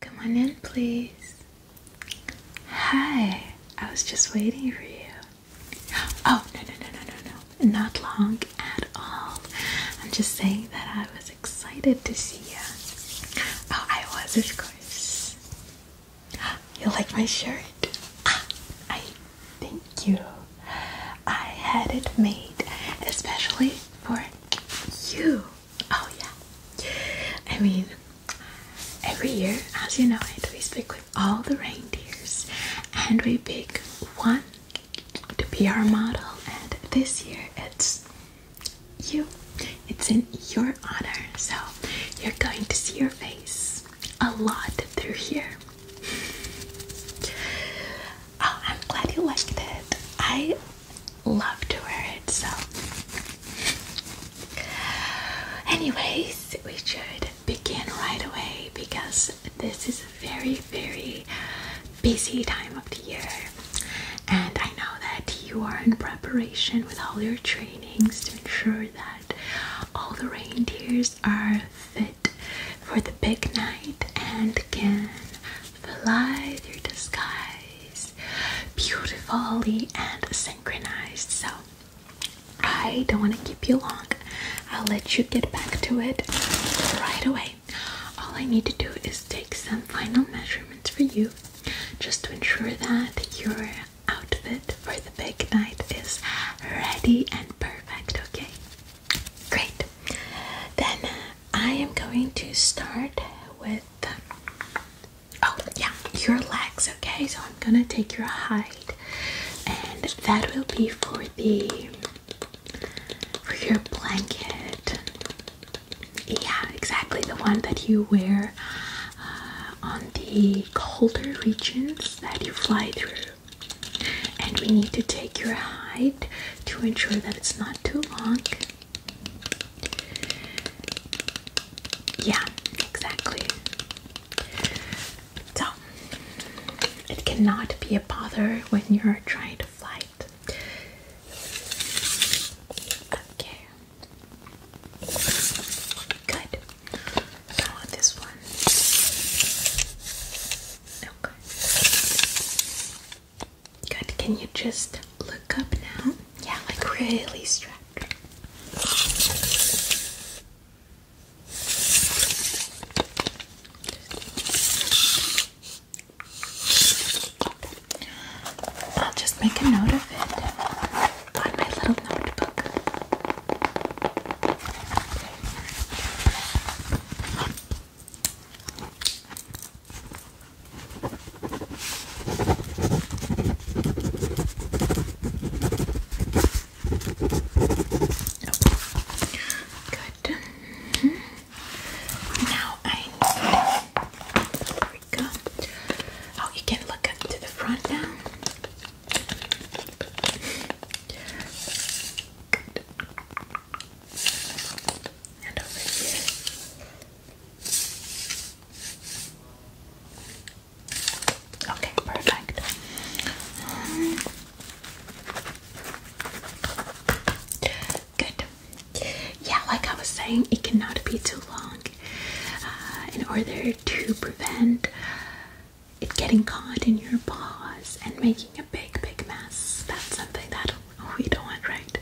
Come on in, please. Hi, I was just waiting for you. Oh, no, no, no, no, no, no. Not long at all. I'm just saying that I was excited to see you. Oh, I was, of course. You like my shirt? Ah, I thank you. I had it made especially for you. Oh yeah. I mean, every year, as you know it, we pick with all the reindeers and we pick one to be our model and this year it's you. It's in your honor. So you're going to see your face a lot through here. Oh, I'm glad you liked it. I love to wear it. So, anyways, we should begin right away because this is a very, very busy time of the year, and I know that you are in preparation with all your trainings to ensure that all the reindeers are fit for the big night and can fly through disguise, beautifully and synchronized. So I don't want to keep you long. I'll let you get back to it right away. All I need to do is take some final measurements for you just to ensure that your outfit for the big night is ready and perfect, okay? Great. Then uh, I am going to start with. Oh, yeah, your legs, okay? So I'm gonna take your hide, and that will be for the. for your blanket. Yeah, exactly the one that you wear uh, on the colder regions that you fly through. And we need to take your hide to ensure that it's not too long. Yeah, exactly. So, it cannot be a bother when you're trying to fly Okay. Good. So, this one. Okay. Good. Can you just look up now? Yeah, like really straight. just make a note of it on my little notebook. Good. Mm-hmm. Now I there we go. Oh, you can look up to the front now. And over here. Okay, perfect. Good. Yeah, like I was saying, it cannot be too long uh, in order to prevent it getting caught in your paws and making a big, big mess. That's something that we don't right?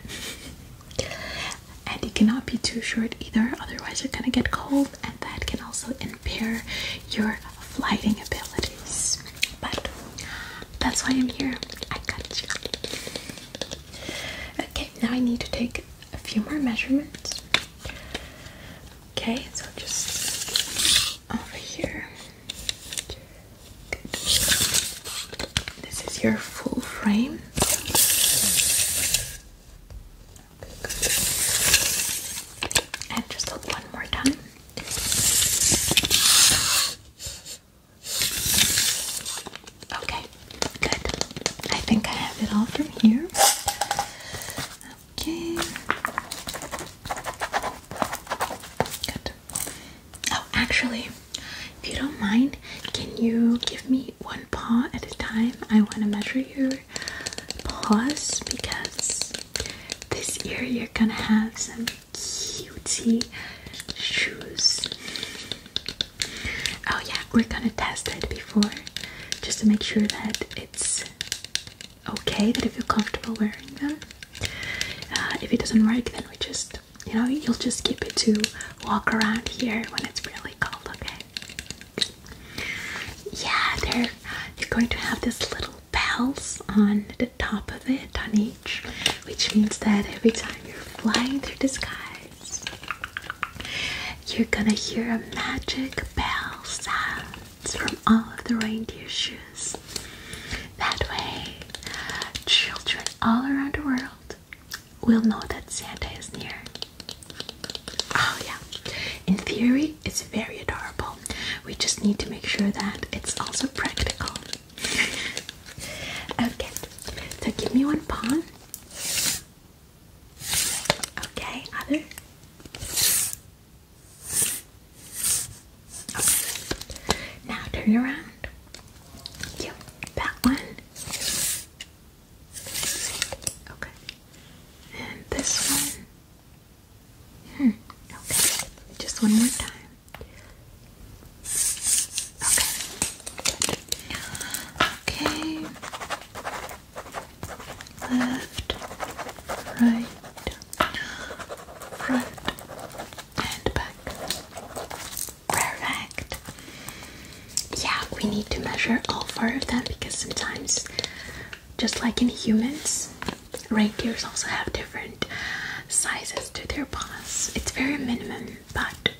and it cannot be too short either, otherwise you're gonna get cold, and that can also impair your flying abilities. But that's why I'm here. I got you. Okay, now I need to take a few more measurements. Okay, so just over here. This is your full frame. And just one more time. Okay, good. I think I have it all from here. Okay. Good. Oh, actually, if you don't mind, can you give me one paw at a time? I want to measure your paws because this year you're gonna have some cutie shoes. Oh, yeah, we're gonna test it before just to make sure that it's okay, that you feel comfortable wearing them. Uh, if it doesn't work, then we just you know, you'll just keep it to walk around here when it's really cold, okay? Yeah, they're you're going to have this little bells on the top of it on each, which means that every time you're flying through the skies, you're gonna hear a magic bell sounds from all of the reindeer shoes. That way, children all around the world we will know that Santa is near. Oh, yeah. In theory, it's very adorable. We just need to make sure that it's also practical. okay, so give me one pawn. Okay, other. Now turn around. You, that one. Okay. And this one. Hmm. Okay. Just one more time. Okay. Okay. Left, right, front, and back. Perfect. Yeah, we need to measure all four of them because sometimes, just like in humans, reindeers also have different sizes to their paws. It's very minimum, but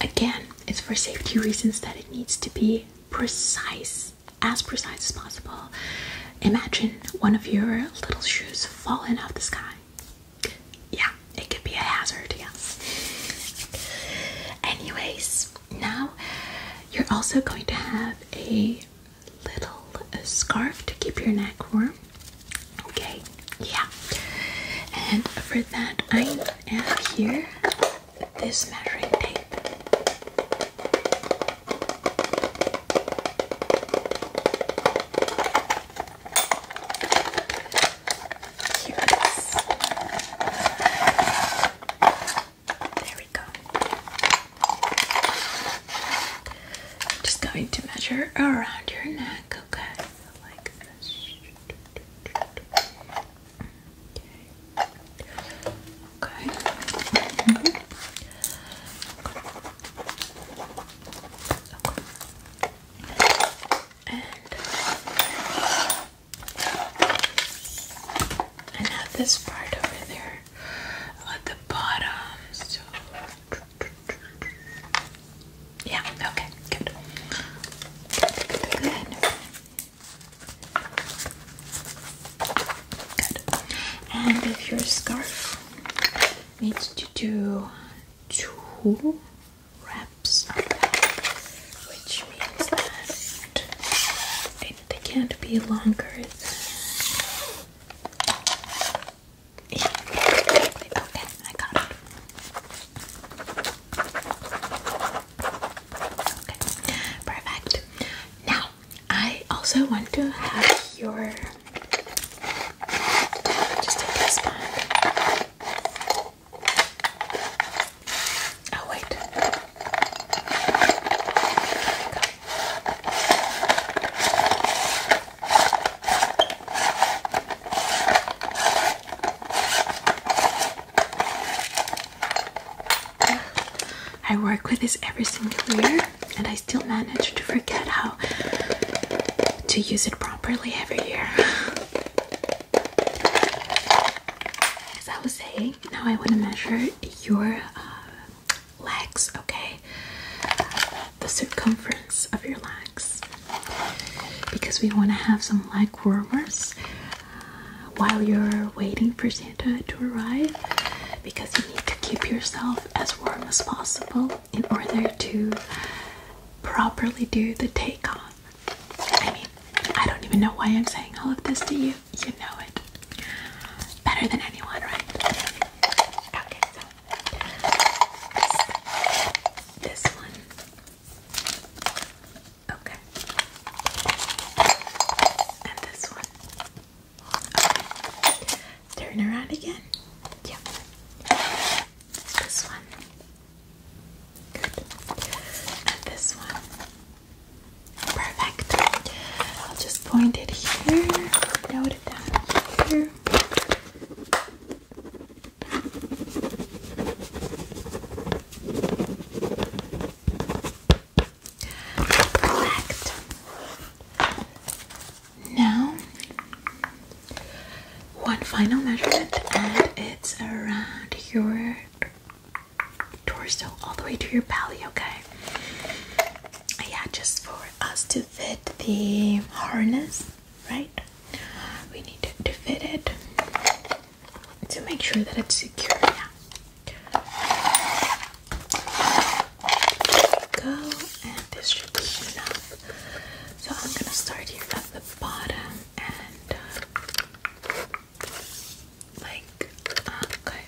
again, it's for safety reasons that it needs to be precise, as precise as possible. Imagine one of your little shoes falling off the sky yeah, it could be a hazard, yes. Anyways, now you're also going to have a little scarf to keep your neck warm. Okay, yeah. And for that, I have here this measuring tape. Here it is. There we go. just going to measure around your neck, okay? like this. okay. Mm-hmm. Okay. And and this part over there at the bottom. So yeah, okay, good. Good. And if your scarf needs to do two wraps which means that they can't be longer than. Yeah, perfect. Now, I also want to have your just take this one. Oh wait. I work with this every single year and I still manage to forget how to use it properly every year. As I was saying, now I want to measure your uh, legs, okay? The circumference of your legs. Because we want to have some leg warmers uh, while you're waiting for Santa to arrive. Because you need to keep yourself as warm as possible in order to properly do the take on. I mean, I don't even know why I'm saying all of this to you. You know it better than anyone, right? Okay, this, one. Okay. And this one. Turn around again. Yep is this one. And this one. Perfect. I'll just point it here. Note it down here. Perfect. Now, one final measurement, and it's around your torso all the way to your belly, okay? Yeah, just for us to fit the harness, right? We need to, fit it to make sure that it's secure. Yeah. go, and this enough. So I'm gonna start here at the bottom and uh, like uh, okay,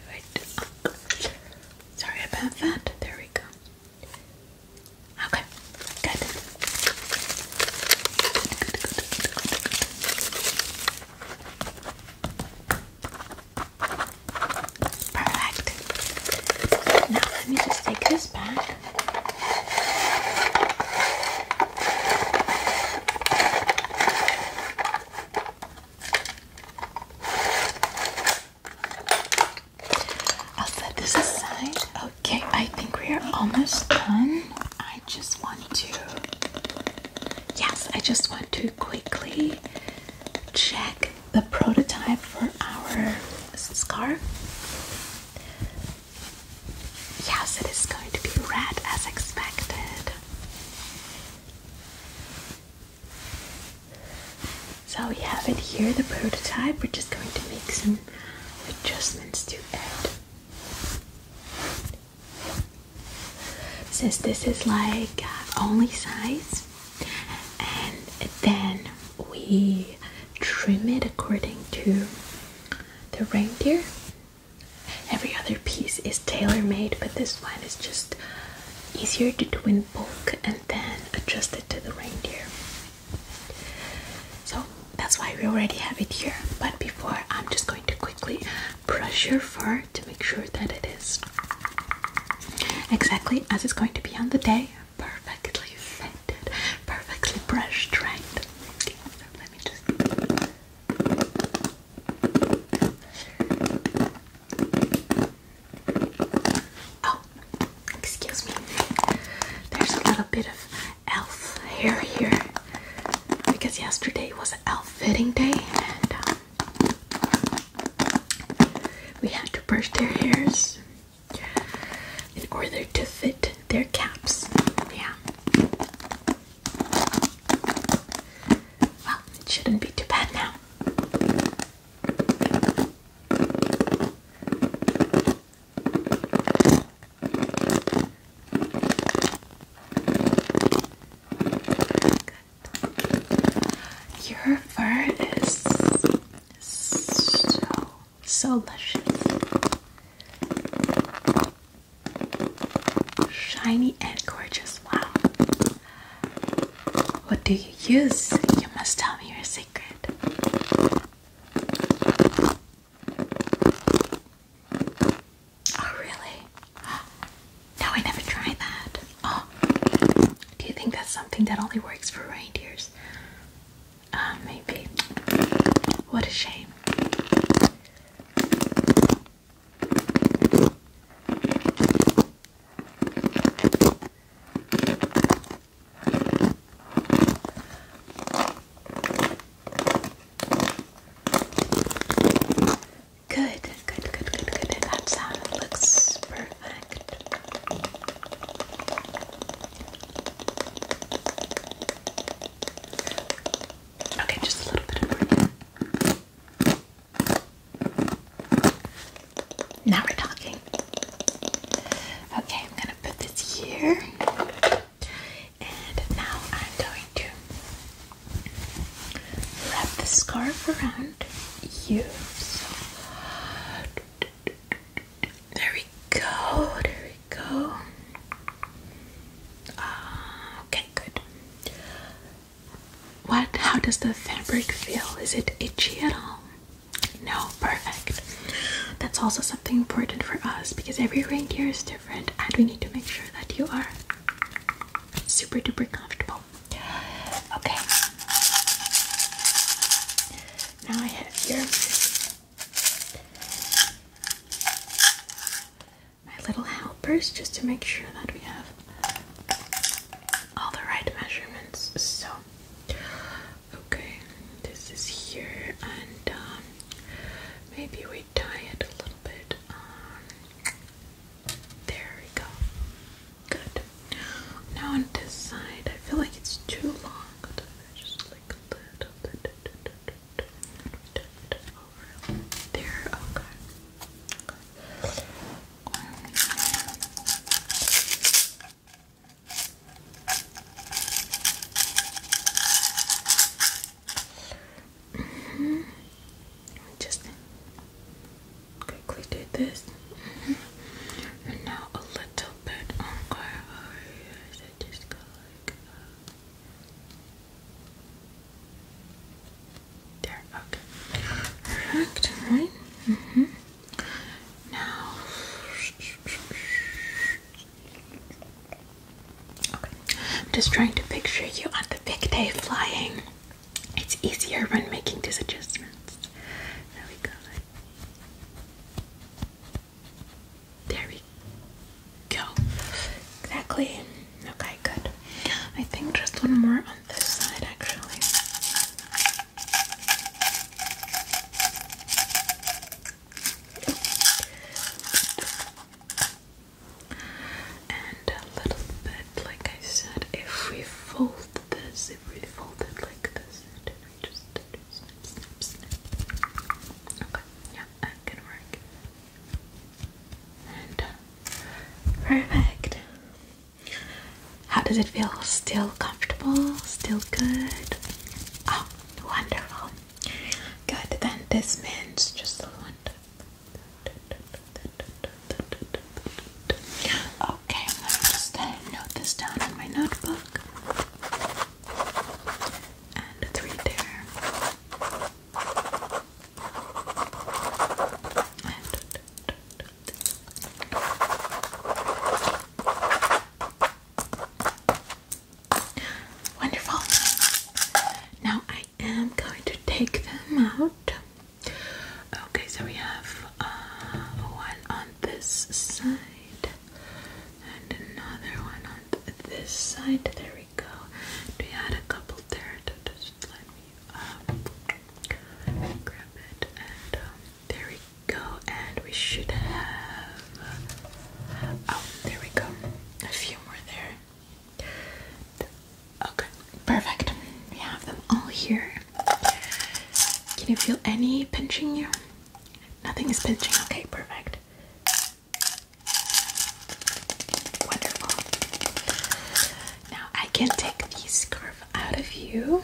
uh, Sorry about that. There we go. Okay, good. Good, good, good, good, good. Perfect. Now let me just take this back. I'll set this aside. Okay, I think we are almost done. I just want to, yes, I just want to quickly check the prototype for our scarf. Yes, it is going to be red as expected. So we have it here, the prototype. We're just going to make some adjustments to it. Since this is like uh, only size, and then we trim it according to the reindeer. Every other piece is tailor-made, but this one is just easier to do in bulk and then adjust it to the reindeer. So that's why we already have it here. But before, I'm just going to quickly brush your fur to make sure that it is exactly as it's going to be on the day perfectly fitted, perfectly brushed, right? let me just. Oh, excuse me. There's a little bit of elf hair here because yesterday was elf fitting day and um, we had to brush their hairs in order to fit their caps. Yeah. Well, it shouldn't be too bad now. Your fur is so so luscious. Shiny and gorgeous. Wow. What do you use? You must tell me your secret. Oh, really? No, I never tried that. Oh. Do you think that's something that only works for reindeers? Ah, maybe. What a shame. Good, good, good, good, good. That sound looks perfect. Okay, just a little bit of breathing. Now we're talking. Okay, I'm gonna put this here. And now I'm going to wrap the scarf around you. There we go. There we go. Uh, okay, good. What? How does the fabric feel? Is it itchy at all? No, perfect. That's also something important for us because every reindeer is different, and we need to make sure that you are super duper comfortable. Okay. Now I have here my little helpers just to make sure that we have all the right measurements. So, okay, this is here, and um, maybe we tie it a little bit. there we go. Good. Now on this side, I feel like it's too long. Just like a little bit. Over there, okay. Just quickly do this now a little bit on her eyes. I just go like uh, There, okay. Perfect, right? -hmm. Now. Okay. I'm just trying to picture you on the big day flying. It's easier when making these adjustments. There we go. There we go. Exactly. Okay, good. I think just one more on this side actually. And a little bit, like I said, if we fold this, if we fold it like this, and I just Okay, yeah, that uh, can work. perfect. How does it feel? Still comfortable? Still good? Oh, wonderful. Good, then this means just a one. Okay, I'm going to just uh, note this down in my notebook. And three there. wonderful. Now I am going to take them out. Okay, so we have uh, one on this side and another one on this side. There we go. We had a couple there just let me um, grab it, and um, there we go. And we should have oh, there we go. A few more there. Okay, perfect. We have them all here. Can you feel any pinching you? Nothing is pinching. Okay, perfect. Wonderful. Now I can take the scarf out of you.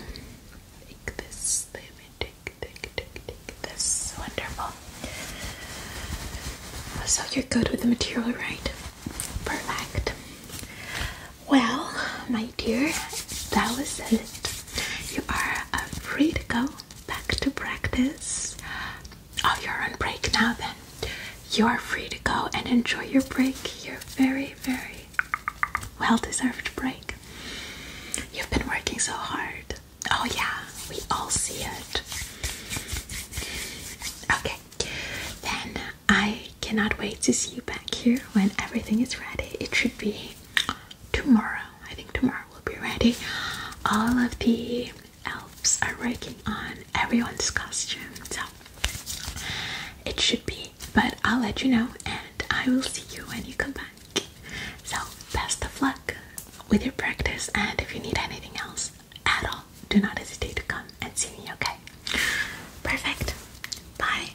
Take this. take, take, take, take this. Wonderful. So you're good with the material, right? Perfect. Well, my dear, that was it. You are uh, free to go back to practice. Oh, you're on break now then. You are free to go and enjoy your break. Your very, very well deserved break. You've been working so hard. Oh, yeah, we all see it. Okay, then I cannot wait to see you back here when everything is ready. It should be tomorrow. I think tomorrow will be ready. All of the elves are working on everyone's costumes, so it should be. But I'll let you know, and I will see you when you come back. So, best of luck with your practice, and if you need anything else at all, do not hesitate to come and see me, okay? Perfect. Bye.